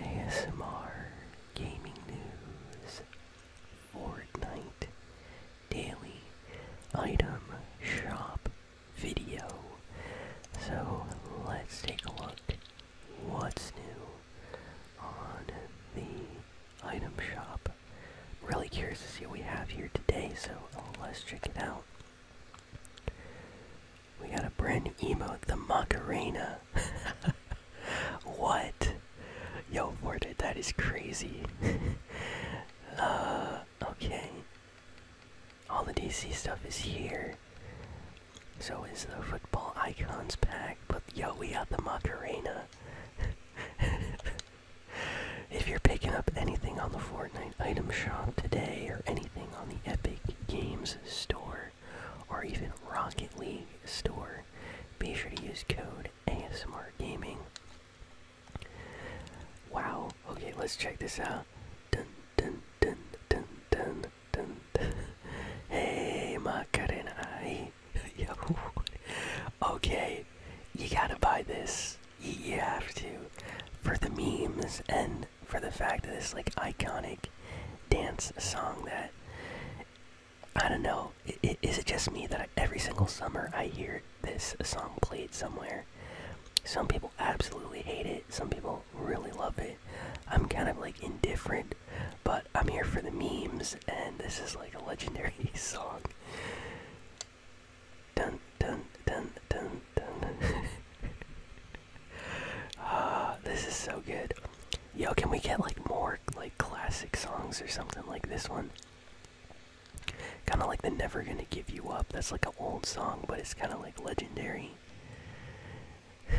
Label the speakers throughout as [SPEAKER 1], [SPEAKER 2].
[SPEAKER 1] ASMR Gaming News Fortnite Daily Item Shop Video. So let's take a look what's new on the item shop. Really curious to see what we have here today, so let's check it out. We got a brand new emote, the Macarena. what? Yo, Fortnite, that is crazy. uh, okay. All the DC stuff is here. So is the football icons pack, but yo, we got the Macarena. if you're picking up anything on the Fortnite item shop today or anything, on the Epic Games Store or even Rocket League Store, be sure to use code ASMR Gaming. Wow. Okay, let's check this out. Dun dun dun dun dun dun. dun. hey, Macarena. Yo. okay, you gotta buy this. You have to for the memes and for the fact that it's like iconic dance song that I don't know. is it just me that every single summer I hear this song played somewhere? Some people absolutely hate it. Some people really love it. I'm kind of like indifferent, but I'm here for the memes, and this is like a legendary song. Dun dun dun dun dun. Ah, this is so good. Yo, can we get like more like classic songs or something like this one? Kind of like the Never Gonna Give You Up. That's like an old song, but it's kind of like legendary.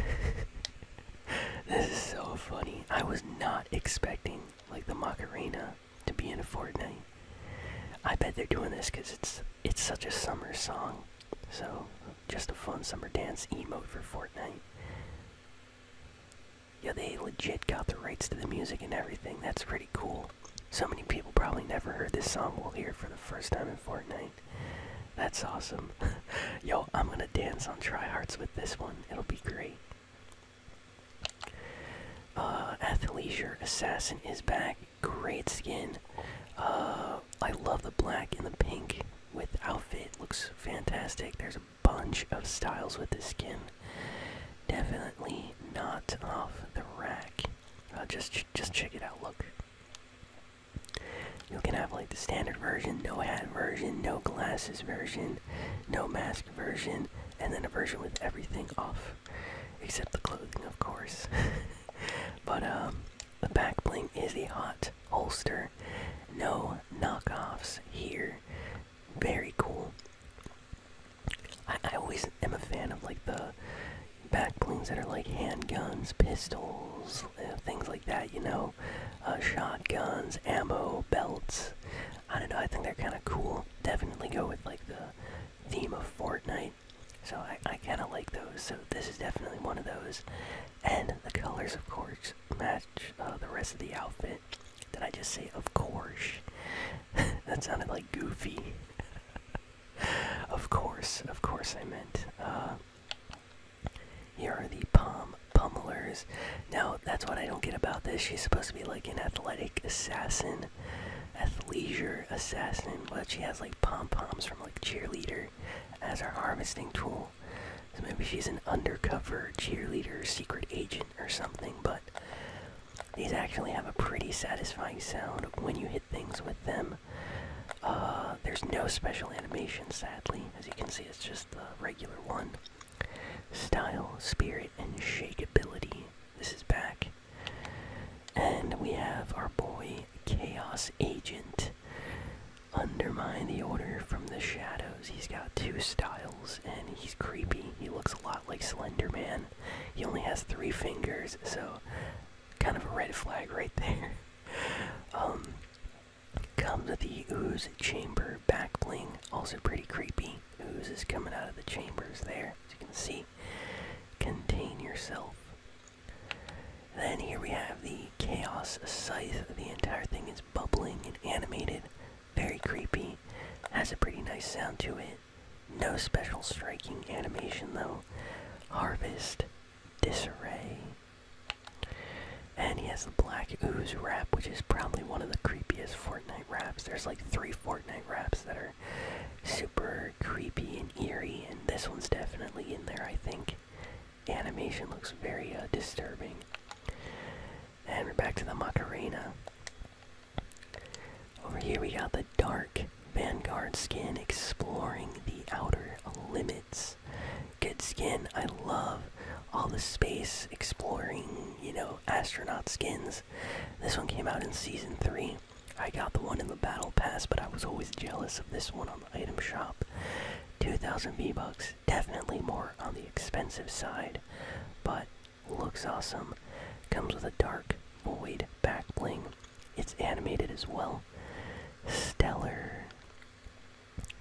[SPEAKER 1] this is so funny. I was not expecting like the Macarena to be in a Fortnite. I bet they're doing this because it's it's such a summer song. So just a fun summer dance emote for Fortnite. Yeah, they legit got the rights to the music and everything. That's pretty cool. So many people probably never heard this song. We'll hear it for the first time in Fortnite. That's awesome. Yo, I'm gonna dance on tryhards with this one. It'll be great. Uh, Athleisure Assassin is back. Great skin. Uh, I love the black and the pink with outfit. Looks fantastic. There's a bunch of styles with this skin. Definitely not off the rack. Uh, just just check it out. Look. You can have like the standard version, no hat version, no glasses version, no mask version, and then a version with everything off except the clothing, of course. but um, the back bling is a hot holster. No knockoffs here. Very cool. I, always am a fan of like the back blings that are like handguns, pistols, uh, things like that, you know, uh, shotguns, ammo, belts. I don't know, I think they're kind of cool. Definitely go with like the theme of Fortnite. So I, I kind of like those. So this is definitely one of those. And the colors, of course, match uh, the rest of the outfit. Did I just say, of course? that sounded like goofy. of course, of course I meant. You uh, are the palm pumblers. Now, that's what I don't get about this. She's supposed to be like an athletic assassin, assassin, athleisure assassin, but she has like pom poms from like cheerleader as her harvesting tool. So maybe she's an undercover cheerleader, secret agent, or something. But these actually have a pretty satisfying sound when you hit things with them. Uh, there's no special animation, sadly. As you can see, it's just the regular one. Style, spirit, and shakeability. This is back. And we have our boy Chaos Agent. Undermine the order from the shadows. He's got two styles and he's creepy. He looks a lot like Slender Man. He only has three fingers, so kind of a red flag right there. Um, comes with the Ooze Chamber back bling, also pretty creepy ooze is coming out of the chambers there, as you can see. Contain yourself. Then here we have the Chaos Scythe. The entire thing is bubbling and animated. Very creepy. Has a pretty nice sound to it. No special striking animation though. Harvest. Disarray. And he has the black ooze wrap, which is probably one of the creepiest Fortnite Fortnite There's like three Fortnite wraps that are super creepy and eerie, and this one's definitely in there, I think. Animation looks very uh, disturbing. And we're back to the Macarena. Over here we got the Dark Vanguard skin exploring the outer limits. Good skin, I love all the space exploring, you know, astronaut skins. This one came out in season 3. I got the one in the battle pass, but I was always jealous of this one on the item shop. 2000 B bucks definitely more on the expensive side, but looks awesome. Comes with a dark void back bling. It's animated as well. Stellar.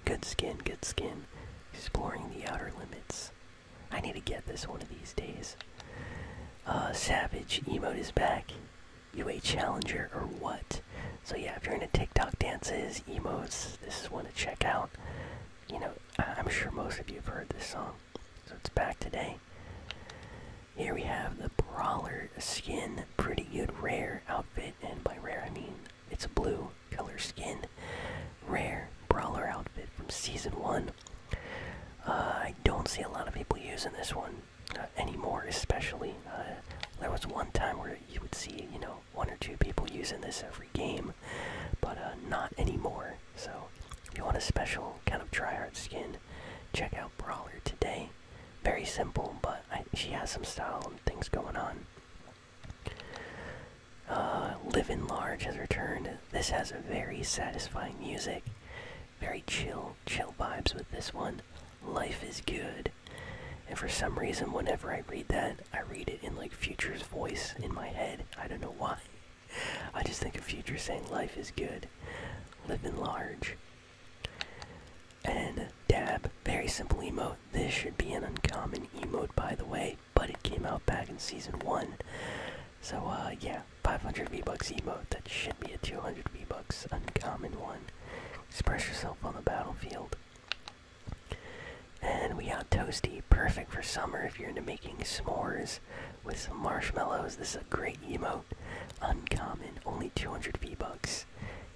[SPEAKER 1] Good skin, good skin. Exploring the outer limits. I need to get this one of these days. Uh, Savage emote is back. You a challenger or what? So yeah, if you're into TikTok dances, emotes, this is one to check out. You know, I'm sure most of you have heard this song, so it's back today. Here we have the Brawler skin, pretty good rare outfit, and by rare I mean it's blue color skin. Rare brawler outfit from season one. Uh, I don't see a lot of people using this one uh, anymore, especially. Uh, there was one time where you would see, you know, one or two people using this every game, but uh, not anymore. So, if you want a special kind of tryhard skin, check out Brawler today. Very simple, but she has some style and things going on. Uh, live in Large has returned. This has a very satisfying music, very chill, chill vibes with this one. Life is good. And for some reason, whenever I read that, I read it in like Future's voice in my head. I don't know why. I just think of Future saying life is good, live in large. And dab, very simple emote. This should be an uncommon emote, by the way but it came out back in season one. So uh, yeah, 500 V Bucks emote. That should be a 200 V Bucks uncommon one. Express yourself on the battlefield. And we got Toasty, perfect for summer if you're into making s'mores with some marshmallows. This is a great emote. Uncommon, only 200 V-Bucks.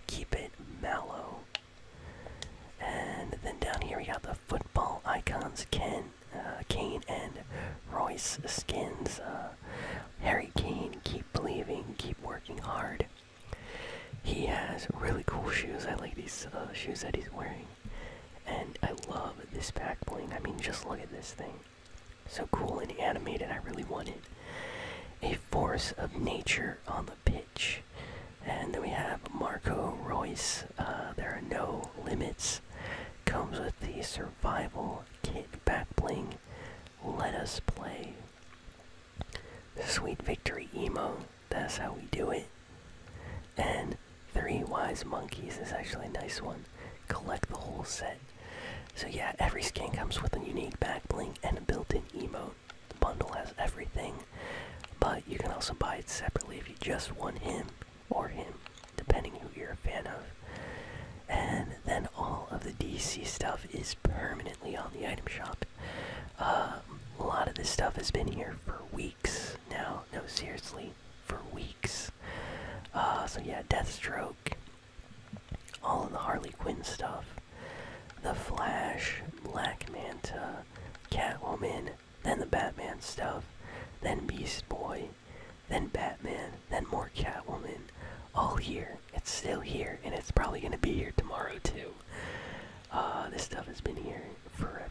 [SPEAKER 1] Keep it mellow. And then down here we got the football icons Ken, uh, Kane, and Royce skins. Uh, Harry Kane, keep believing, keep working hard. He has really cool shoes. I like these uh, shoes that he's wearing. And I love this back bling. I mean, just look at this thing. So cool and animated. I really want it. A force of nature on the pitch. And then we have Marco Royce. Uh, there are no limits. Comes with the survival kit back bling. Let us play. Sweet victory emo. That's how we do it. And three wise monkeys is actually a nice one. Collect the whole set. So yeah, every skin comes with a unique back bling and a built-in emo. The bundle has everything, but you can also buy it separately if you just want him or him, depending who you're a fan of. And then all of the DC stuff is permanently on the item shop. Uh, a lot of this stuff has been here for weeks now. No, seriously, for weeks. Uh, so yeah, Deathstroke, all of the Harley Quinn stuff, the Flash, Black Manta, Catwoman, then the Batman stuff, then Beast Boy, then Batman, then more Catwoman. All here. It's still here, and it's probably gonna be here tomorrow too. Uh, this stuff has been here forever.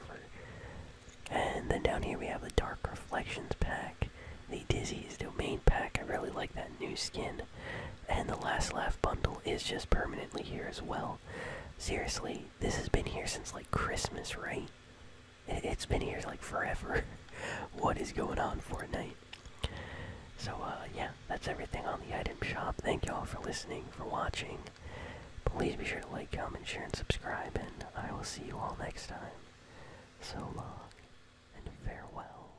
[SPEAKER 1] And then down here we have the Dark Reflections pack, the Dizzy's Domain pack. I really like that new skin. And the Last Laugh bundle is just permanently here as well. Seriously, this has been here since like Christmas, right? It's been here like forever. what is going on, Fortnite? So, uh, yeah, that's everything on the item shop. Thank y'all for listening, for watching. Please be sure to like, comment, share, and subscribe, and I will see you all next time. So long, and farewell.